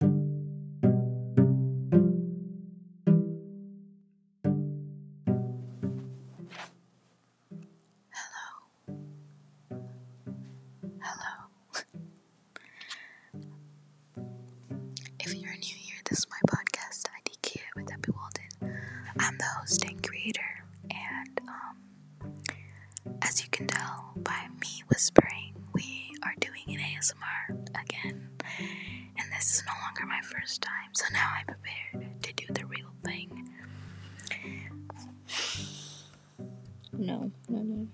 Hello. Hello. if you're new here, this is my podcast, IDK with Abby Walden. I'm the host and creator, and um, as you can tell by me whispering. We are doing an ASMR again, and this is no longer my first time, so now I'm prepared to do the real thing. No, no, no.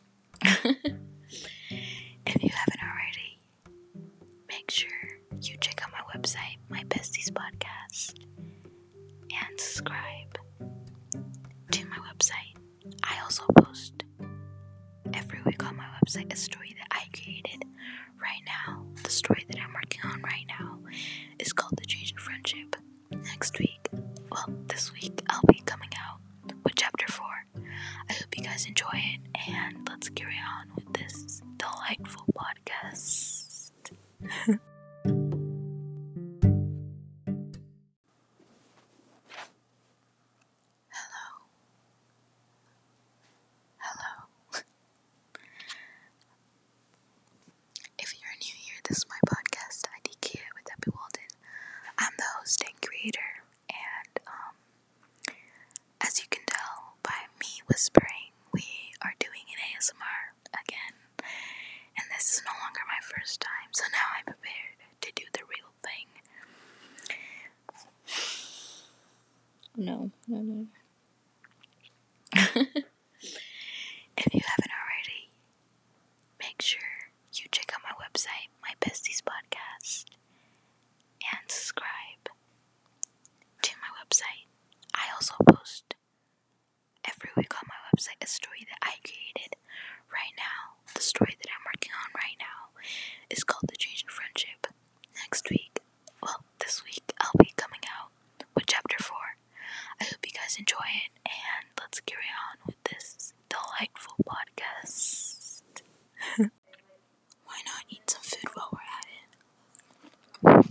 if you haven't already, make sure you check out my website, My Besties Podcast, and subscribe to my website. I also post every week on my website a story that I created right now. The story that I'm working on right now is called The Change in Friendship. Next week, well, this week, I'll be coming out with chapter 4. I hope you guys enjoy it, and let's carry on with this delightful podcast. Hello. Hello. if you're new here, this is my podcast, IDK with Abby Walden. I'm the host and creator, and um, as you can tell by me whispering, we are doing an ASMR again. And this is no longer my first time, so now I'm prepared to do the real thing. No, no, no. if you haven't already, make sure you check out my website, my besties podcast, and subscribe to my website. I also post every week on my website a story that I created right now, the story that I'm working on right now, is called The Change in Friendship. Next week, well, this week, I'll be coming out with chapter 4. I hope you guys enjoy it, and let's carry on with this delightful podcast. Why not eat some food while we're at it?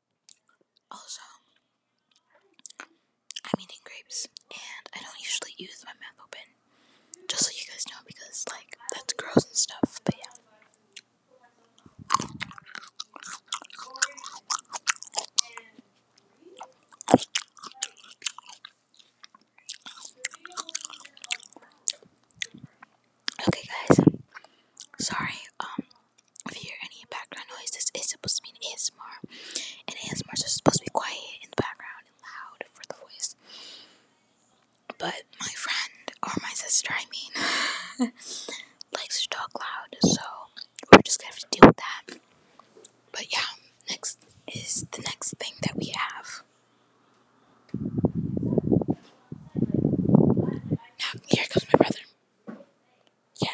Also, I'm eating grapes, and I don't usually use my mouth open, just so you guys know, because, like, that's gross and stuff, but yeah. Okay, guys. Sorry. Um, if you hear any background noises, it's supposed to mean ASMR, and ASMR is supposed to be quiet in the background and loud for the voice. But my friend, or my sister, I mean, likes to talk loud, so we're just gonna have to deal with that. But yeah, next is the next thing that we have. Now, here comes my brother. Yeah.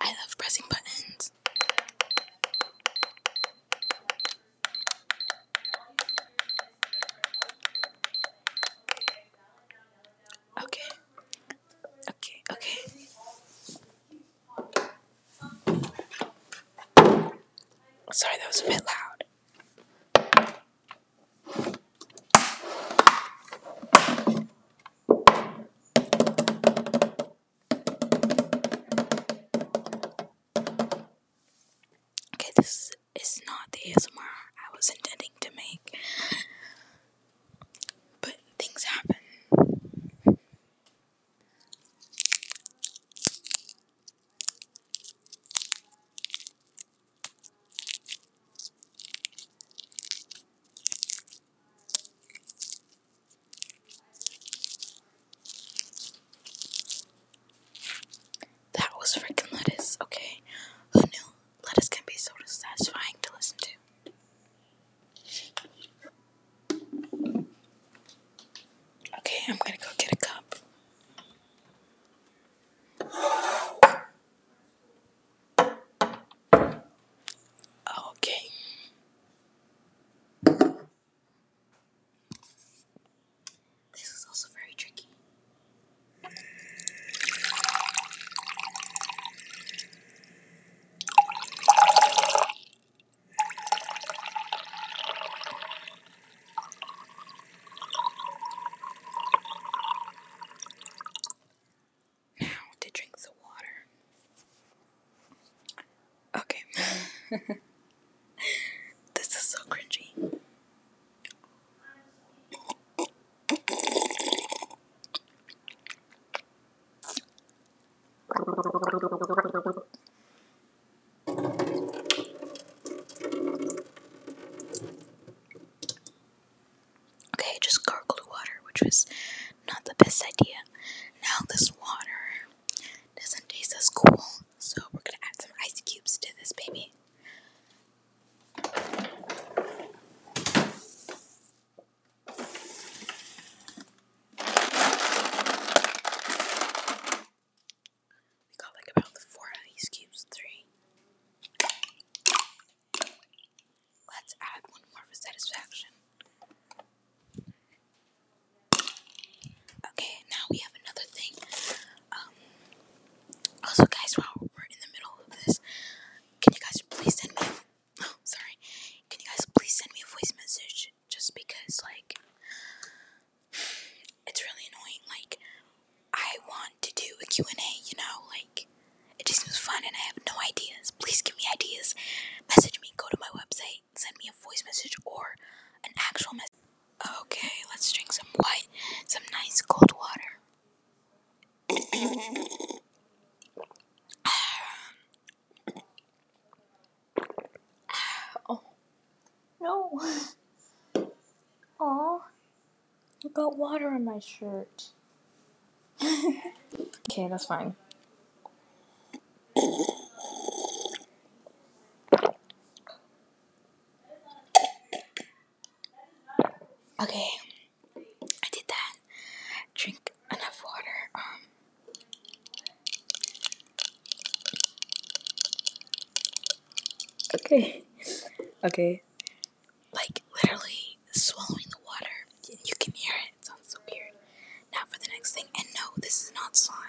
I love pressing buttons. Okay. Okay, okay. Sorry, that was a bit loud. Okay, this is not the ASMR I was intending to make, but things happen. That was freaking lettuce, okay? Who knew lettuce can be so satisfying to listen to? Okay, I'm gonna go get a cup. Okay. This is also very tricky. Now to drink the water. Okay. this is so cringy. Okay, just gargle water, which was not the best idea. Now this water doesn't taste as cool, so we're gonna add some ice cubes to this baby. We got like about four ice cubes, three. Let's add one more for satisfaction. Okay, now we have another thing. Um, also, guys, while we're in the middle of this, can you guys please send me? Oh, sorry. Can you guys please send me a voice message? Just because, like, it's really annoying. Like, I want to do a Q and A. You know, like, it just seems fun, and I have no ideas. Please give me ideas. Message me. Go to my website send me a voice message or an actual message. Okay, let's drink some white, some nice cold water. Ah. Ah. oh no! Oh, I got water on my shirt. okay, that's fine. Okay, I did that. Drink enough water. Um, okay, okay, like literally swallowing the water you can hear it. It sounds so weird. Now for the next thing. And no, this is not slime.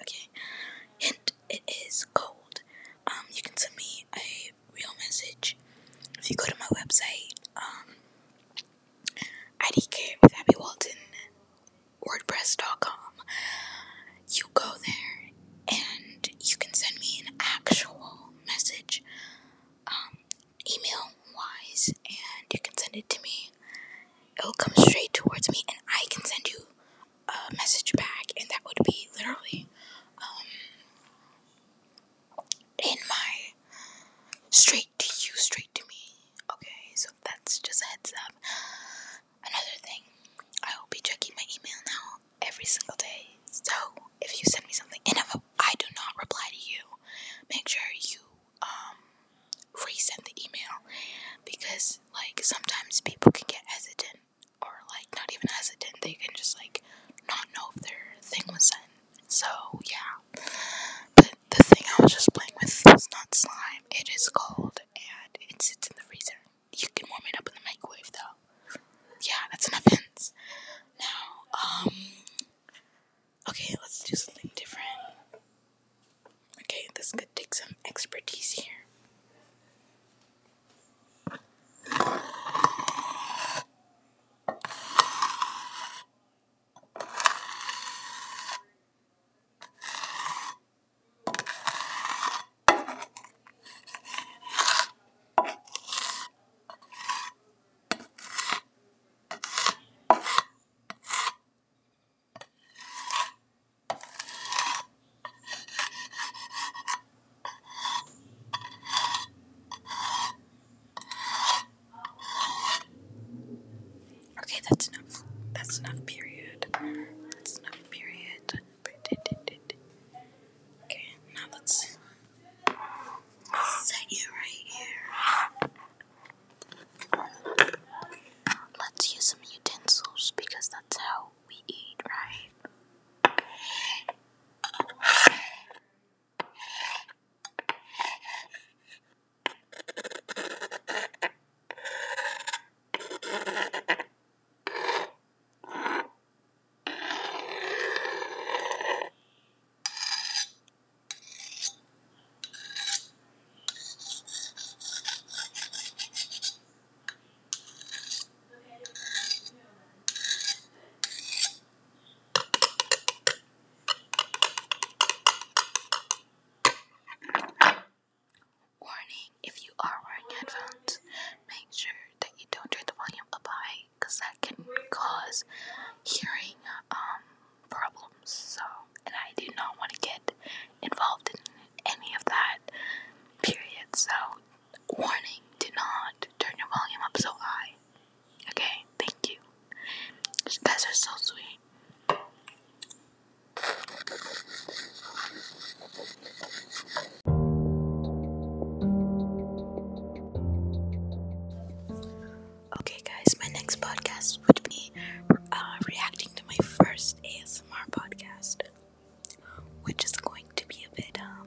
Okay. Hint: It is cold. Um, you can send me a real message if you go to my website. Um, with Abby Walton, WordPress.com. You go there and you can send me an actual message, um, email wise, and you can send it to me it'll come straight towards me, and I can send you a message back, and that would be literally um, in my straight to you, straight to me. Okay, so that's just a heads up. Another thing, I will be checking my email now every single day. So if you send me something and I do not reply to you, make sure you um, resend the email because like sometimes people can get hesitant or like not even hesitant they can just like not know if their thing was sent so yeah but the thing i was just playing with was not slime it is cold and it sits in the freezer you can warm it up in the microwave though yeah that's an offense. now um okay, let's do something different. Okay, this could take some expertise here. Okay, that's enough. That's enough, period. That's enough, period. Okay, now let's set you right here. Let's use some utensils because that's how we eat, right? Warning, if you are wearing headphones, make sure that you don't turn the volume up high because that can cause hearing uh, um, problems. So, and I do not want to get involved in any of that. Period. So, warning: do not turn your volume up so high. Okay, thank you. You guys are so sweet. Okay, guys, my next podcast would be uh, reacting to my first ASMR podcast, which is going to be a bit, um,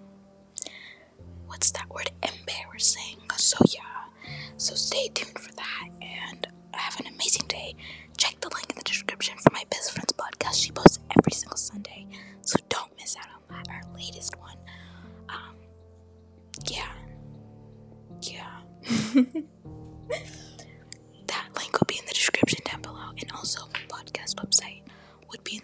what's that word? Embarrassing. So, yeah, so stay tuned for that and have an amazing day. Check the link in the description for my best friend's podcast. She posts every single Sunday, so don't miss out on that, latest one. Um, yeah, yeah. that link will be in the description down below, and also my podcast website would be in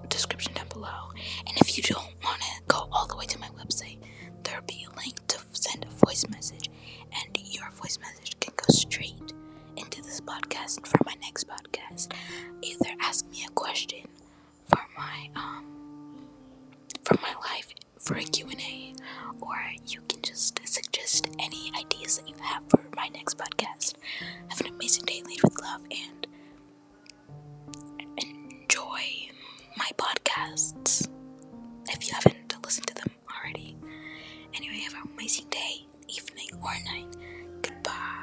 the description down below. And if you don't want to go all the way to my website, there'll be a link to send a voice message, and your voice message can go straight into this podcast for my next podcast. Either ask me a question for my um for my life for a Q&A or you can just suggest any ideas that you have for my next podcast. Have an amazing day, lead with love, and enjoy my podcasts if you haven't listened to them already. Anyway, have an amazing day, evening, or night. Goodbye.